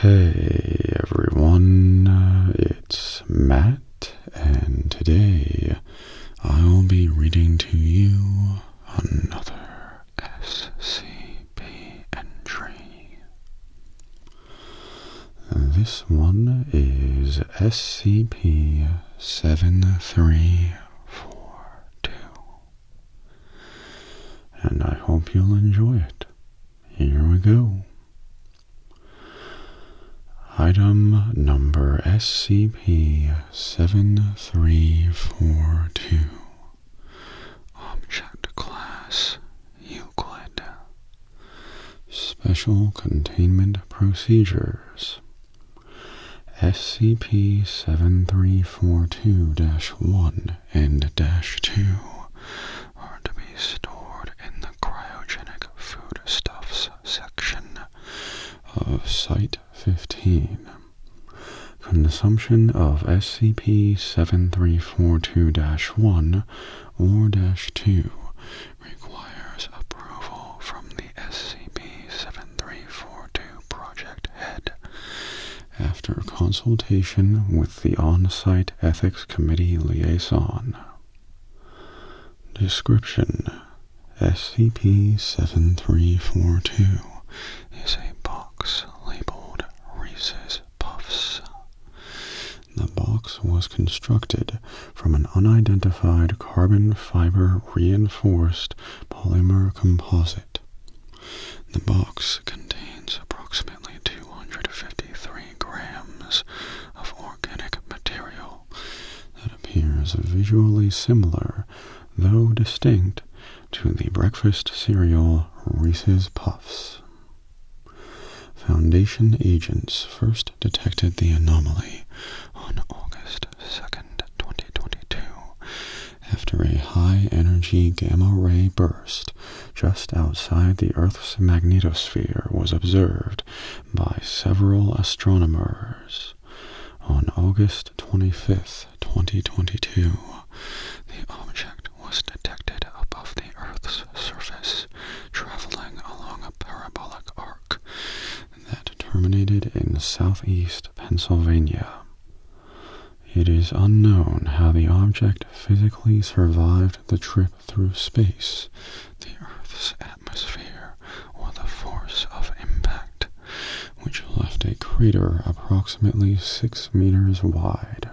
Hey everyone, uh, it's Matt, and today I'll be reading to you another SCP entry. This one is SCP 7342 and I hope you'll enjoy it. Here we go. Item number SCP 7342 Object Class Euclid Special Containment Procedures SCP-7342-1 and -2 are to be stored in the cryogenic foodstuffs section of Site-15. Consumption of SCP-7342-1 or -2 requires approval from the SCP-7342 project head. After consultation with the on-site ethics committee liaison. Description SCP-7342 is a box labeled Reese's Puffs. The box was constructed from an unidentified carbon fiber reinforced polymer composite. The box contains approximately 253 grams of organic material that appears visually similar, though distinct, to the breakfast cereal Reese's Puffs. Foundation agents first detected the anomaly on August 2nd, 2022, after a high energy gamma ray burst just outside the Earth's magnetosphere was observed by several astronomers. On August twenty fifth, 2022, the object was detected above the Earth's surface, traveling along a parabolic arc that terminated in southeast Pennsylvania. It is unknown how the object physically survived the trip through space, the Earth's atmosphere, or the force of impact, which left a crater approximately six meters wide.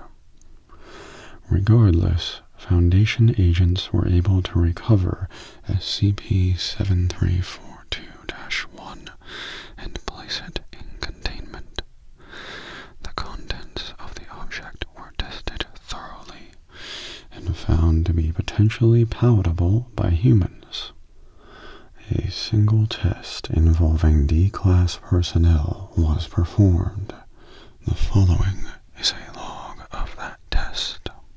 Regardless, Foundation agents were able to recover SCP-7342-1 and place it in containment. The contents of the object were tested thoroughly and found to be potentially palatable by humans. A single test involving D-Class personnel was performed. The following is a log of that test.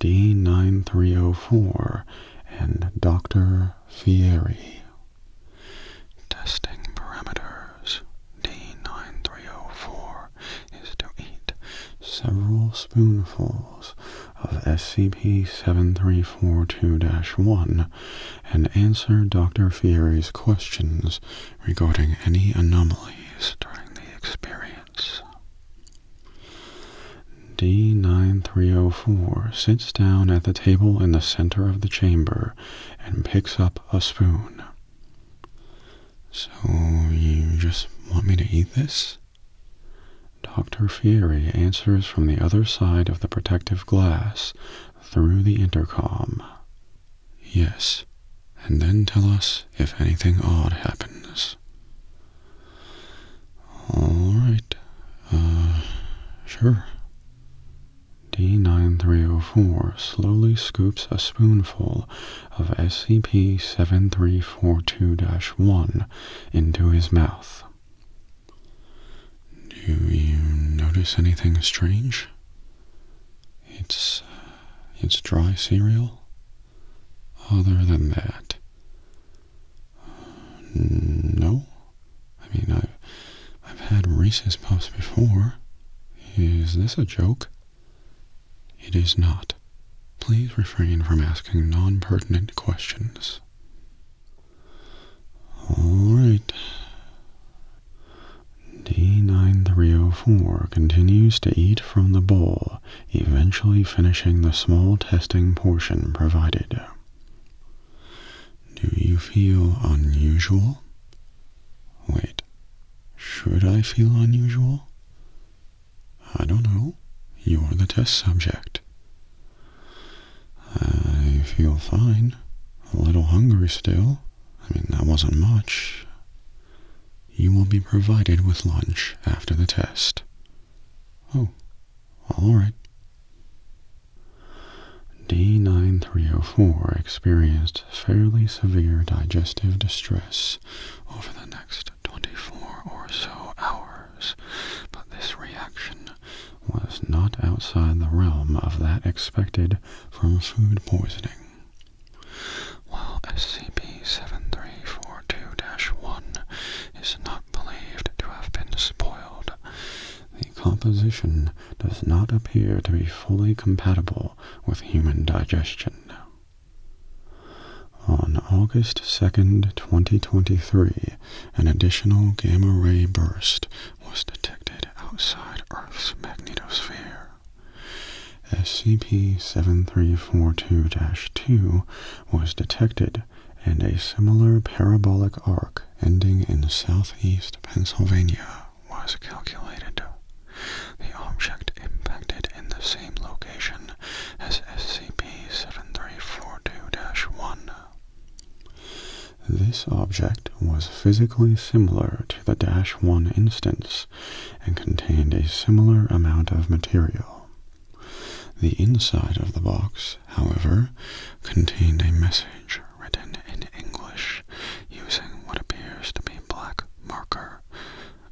D9304 and Dr. Fieri. Testing parameters D9304 is to eat several spoonfuls of SCP-7342-1 and answer Dr. Fieri's questions regarding any anomalies during the experience. D9304 sits down at the table in the center of the chamber and picks up a spoon. So you just want me to eat this? Dr. Fieri answers from the other side of the protective glass through the intercom. Yes, and then tell us if anything odd happens. Alright, uh, sure. D9304 slowly scoops a spoonful of SCP-7342-1 into his mouth. Do you notice anything strange? It's... Uh, it's dry cereal? other than that. No. I mean, I've, had Reese's pops before. Is this a joke? It is not. Please refrain from asking non-pertinent questions. All right. D9304 continues to eat from the bowl eventually finishing the small testing portion provided. Do you feel unusual? Wait, should I feel unusual? I don't know. You're the test subject. I feel fine. A little hungry still. I mean, that wasn't much. You will be provided with lunch after the test. Oh, all right. D9304 experienced fairly severe digestive distress over the next 24 or so hours, but this reaction was not outside the realm of that expected from food poisoning. While SCP-7342-1 is not believed to have been spoiled, the composition does not appear to be fully compatible with human digestion. On August 2, 2023, an additional gamma-ray burst was detected outside Earth's magnetosphere. SCP-7342-2 was detected and a similar parabolic arc ending in southeast Pennsylvania was calculated. The object impacted in the same location as SCP-7342-1. This object was physically similar to the Dash 1 instance and contained a similar amount of material. The inside of the box, however, contained a message written in English using what appears to be black marker,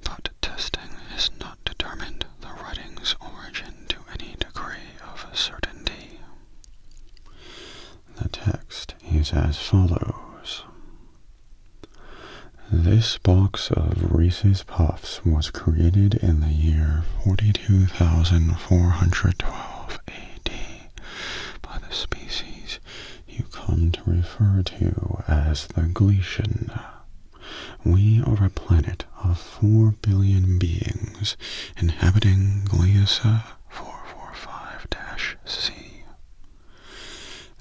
but testing has not determined the writing's origin to any degree of certainty. The text is as follows. This box of Reese's Puffs was created in the year 42,412 AD by the species you come to refer to as the Grecian. We are a planet of four billion beings inhabiting Gliese 445-C.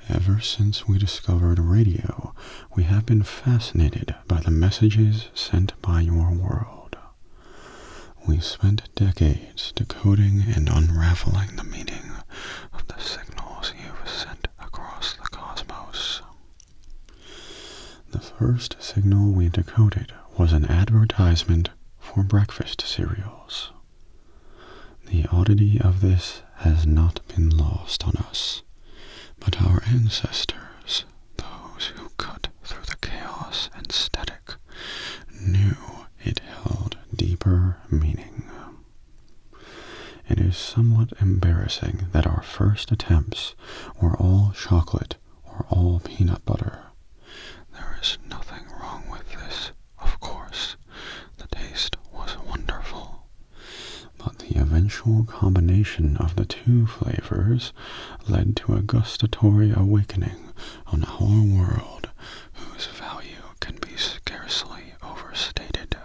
Ever since we discovered radio, we have been fascinated by the messages sent by your world. We spent decades decoding and unraveling the meaning of the signals you sent across the cosmos. The first signal we decoded was an advertisement for breakfast cereals. The oddity of this has not been lost on us, but our ancestors, those who cut through the chaos and static, knew it held deeper meaning. It is somewhat embarrassing that our first attempts were all chocolate or all peanut butter. There is nothing wrong with this, of course. The taste was wonderful. But the eventual combination of the two flavors led to a gustatory awakening on whole world whose value can be scarcely overstated.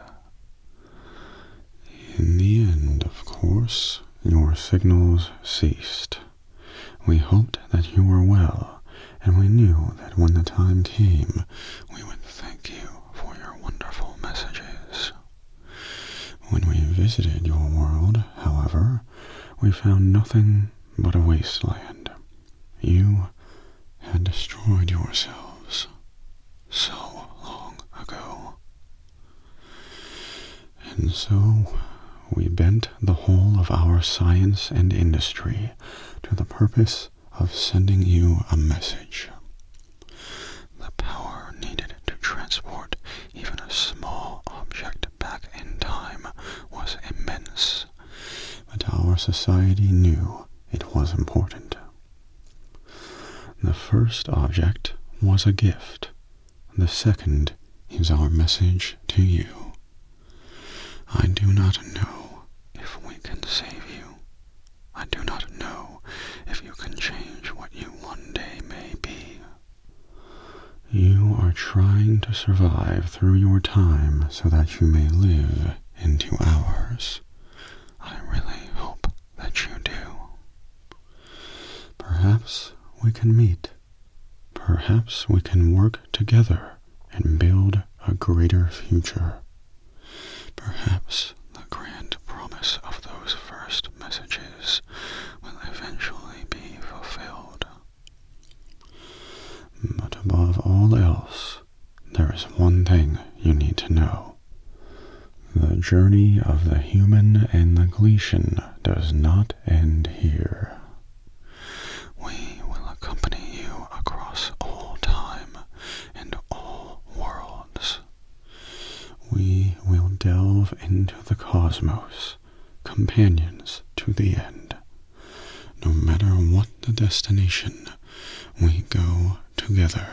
In the end, of course, your signals ceased. We hoped that you were well, and we knew that when the time came, we would thank you for your wonderful messages. When we visited your world, however, we found nothing but a wasteland. You had destroyed yourselves so long ago. And so we bent the whole of our science and industry to the purpose of sending you a message. The power needed to transport even a small object back in time was immense, but our society knew it was important. The first object was a gift the second is our message to you. I do not know if we can save you. I do not know if you can change what you one day may be. You are trying to survive through your time so that you may live into ours. I really hope that you do. Perhaps we can meet. Perhaps we can work together and build a greater future. Perhaps the grand promise of those first messages will eventually be fulfilled. But above all else, there is one thing you need to know. The journey of the human and the Grecian does not end here. We will accompany you across all time and all worlds. We will delve into the cosmos, companions to the end. No matter what the destination, we go together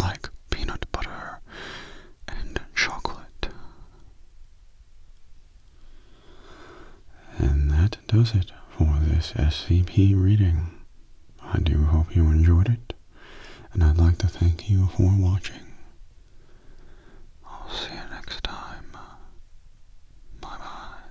like peanut butter and chocolate. And that does it for this SCP reading. I do hope you enjoyed it, and I'd like to thank you for watching. I'll see you next time. Bye bye.